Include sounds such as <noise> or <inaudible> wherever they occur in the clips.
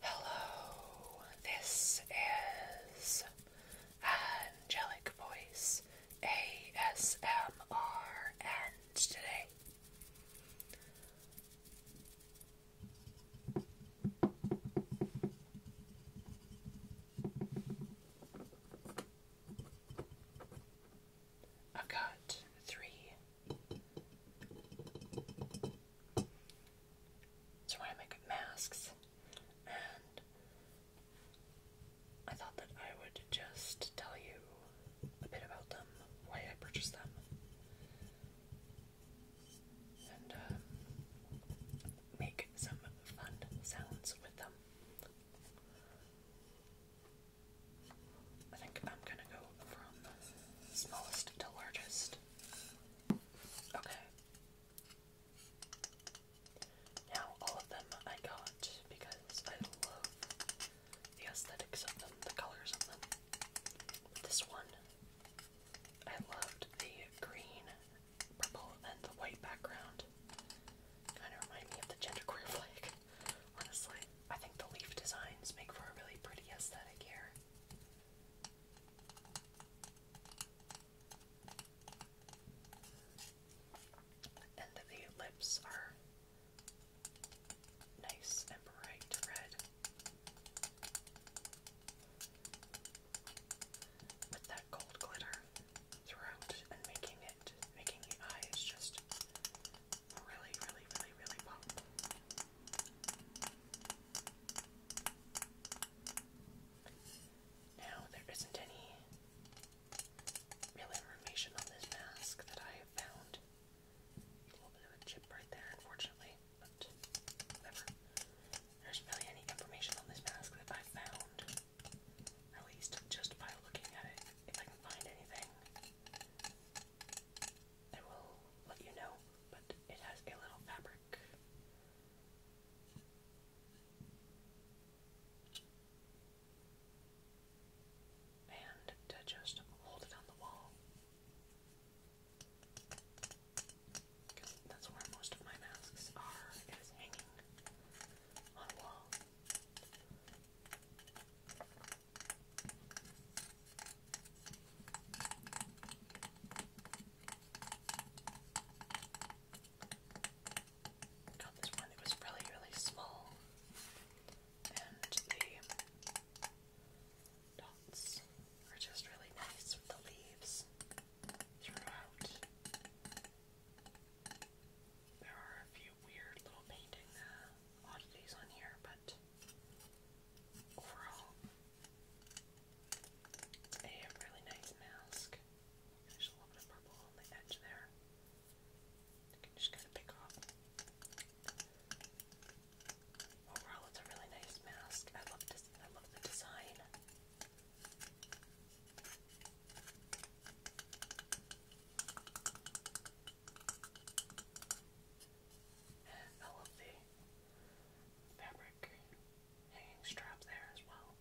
Hello, this is Angelic Voice ASMR, and today i got three ceramic masks, and I thought that I would just tell you a bit about them, why I purchased them, and um, make some fun sounds with them. I think I'm gonna go from smallest to largest. Okay. Now, all of them I got because I love the aesthetics of them, the colors of them. This one, I loved the green, purple, and the white background. Kind of remind me of the genderqueer <laughs> flag, honestly. I think the leaf designs make for a really pretty aesthetic here. And the lips are nice and bright red. With that gold glitter throughout and making it, making the eyes just really, really, really, really pop. Now, there isn't any real information on this mask that I have found. A little bit of a chip right there, unfortunately, but There's really any information on this mask that I've found. At least just by looking at it, if I can find anything. I will let you know, but it has a little fabric. And to just hold it on the wall. Because that's where most of my masks are, it is hanging on a wall. Got this one that was really, really small, and the dots are just really nice with the leaves throughout. There are a few few weird little painting uh, oddities on here, but overall, a really nice mask. There's a little bit of purple on the edge there. You can just kind of pick off. Overall, it's a really nice mask. I love the design. And I love the fabric hanging strap there as well.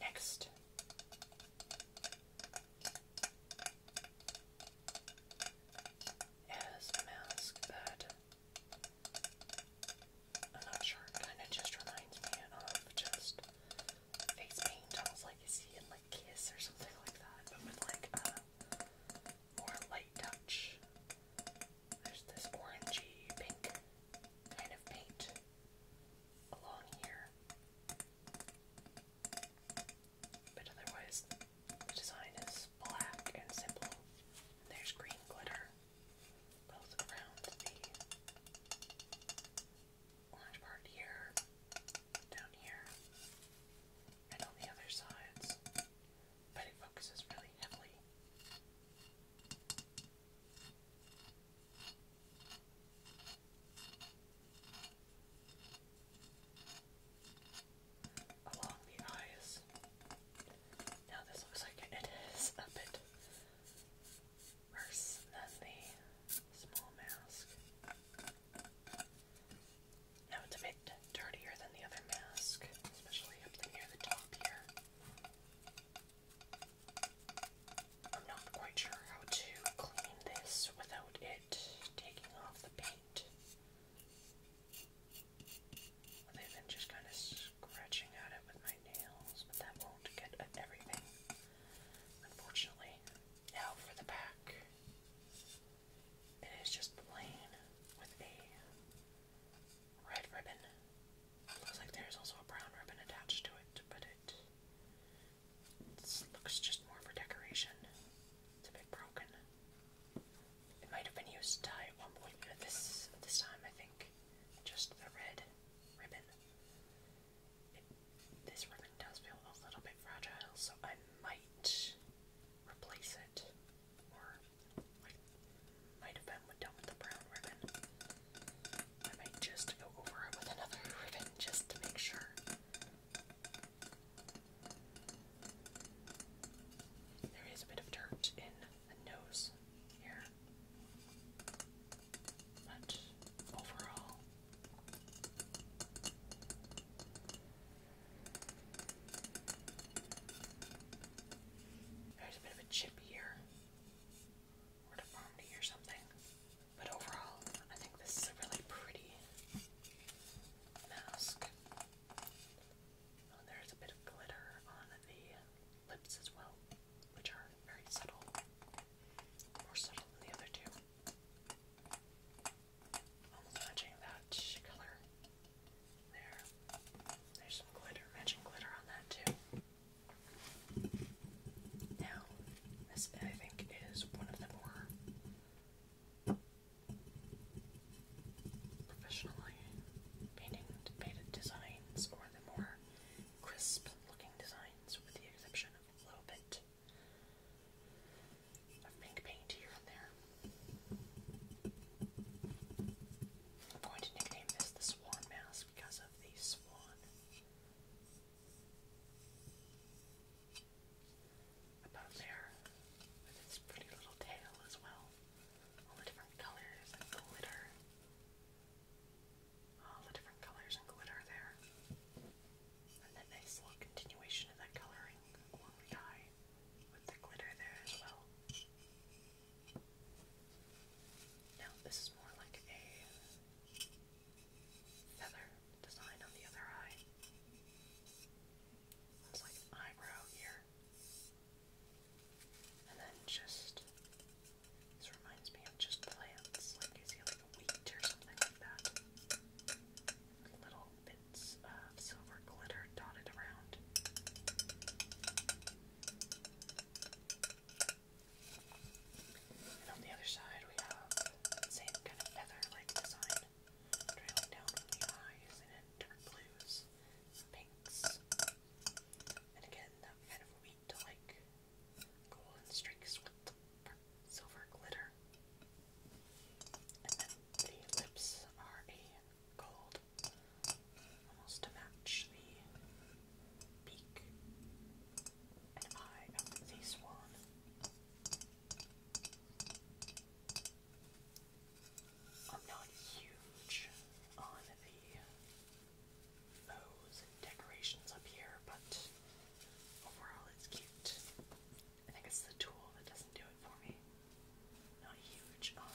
Next. Is mask that i kind of just reminds me of just face paint, almost like you see like Kiss or something like that, but with like a uh, more light touch. There's this orangey pink kind of paint along here. But otherwise, the design is black and simple. there's green glitter both around the orange part here, down here, and on the other sides, but it focuses really heavily. Along the eyes, now this looks like it is a bit worse than the small mask. Now it's a bit dirtier than the other mask, especially up near the top here. I'm not quite sure how to clean this without it taking off the paint. Other than just kind of scratching at it with my nails, but that won't get at everything, unfortunately. Now for the back. It is just plain with a red ribbon. Looks like there's also a brown ribbon attached to it, but it looks just more for decoration. It's a bit broken. It might have been used to tie at one point, but this this time I think just the red ribbon. this ribbon does feel a little bit fragile, so I might replace it, or might have been done with the brown ribbon. I might just go over it with another <laughs> ribbon just to make sure. There is a bit of dirt in the nose here. But overall, there's a bit of a chip here, or deformity or something. But overall, I think this is a really pretty mask. Oh, there's a bit of glitter on the lips as well, which are very subtle. More subtle than the other two. Almost matching that color. There. There's some glitter, matching glitter on that too. Now, this I think is one of the more professionally painting painted designs or the more crisp looking designs with the exception of a little bit of pink paint here and there. I'm going to nickname this the swan mask because of the swan above there with its pretty little tail as well all the different colors and glitter. All the different colors and glitter there. And then nice little continuation of that coloring along the eye with the glitter there as well. Now this is more like a feather design on the other eye. It's like eyebrow here. And then just this reminds me of just plants. Like is like a wheat or something like that? Little bits of silver glitter dotted around. And on the other side we have same kind of feather like design trailing down from the eyes in dark blues, pinks, and again that kind of wheat like golden streaks with silver glitter. And then the lips are a gold, almost to match the beak and eye of the swan. I'm not huge on the bows and decorations up here, but overall it's cute. I think it's the tool that doesn't do it for me. Not huge on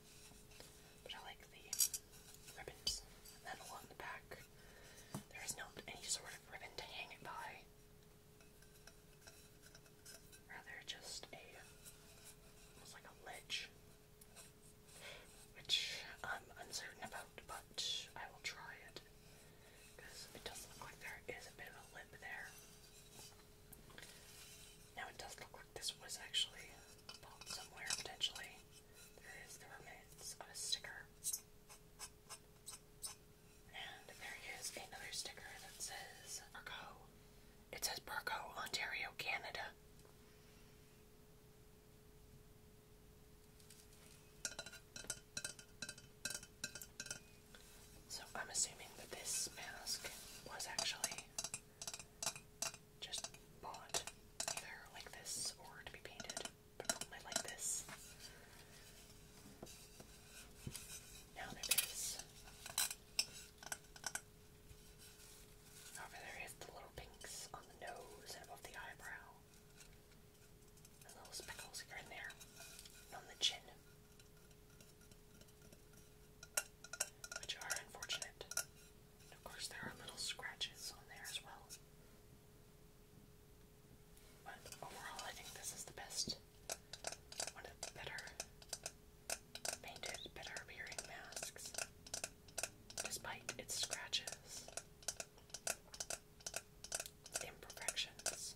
But I like the ribbons. And then along the back, there is not any sort of ribbon to hang it by. Rather, just a almost like a ledge, which I'm uncertain about, but I will try it because it does look like there is a bit of a lip there. Now it does look like this was actually pulled somewhere potentially. There is the remains of a sticker. And there is another sticker that says Burco. It says Burco, Ontario, Canada. So I'm assuming that this mask was actually just bought either like this or to be painted, but probably like this. Now there is. However, there is the little pinks on the nose and above the eyebrow. And little speckles here and there. on the chin which are unfortunate. of course, there are little scratches on there as well. But overall, I think this is the best, one of the better painted, better appearing masks, despite its scratches, its imperfections.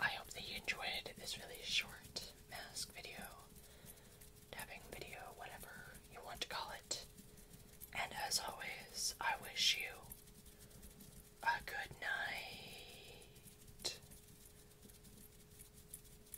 I hope that you enjoyed this really short mask video, dabbing video, whatever you want to call it. And as always, I wish you a good night.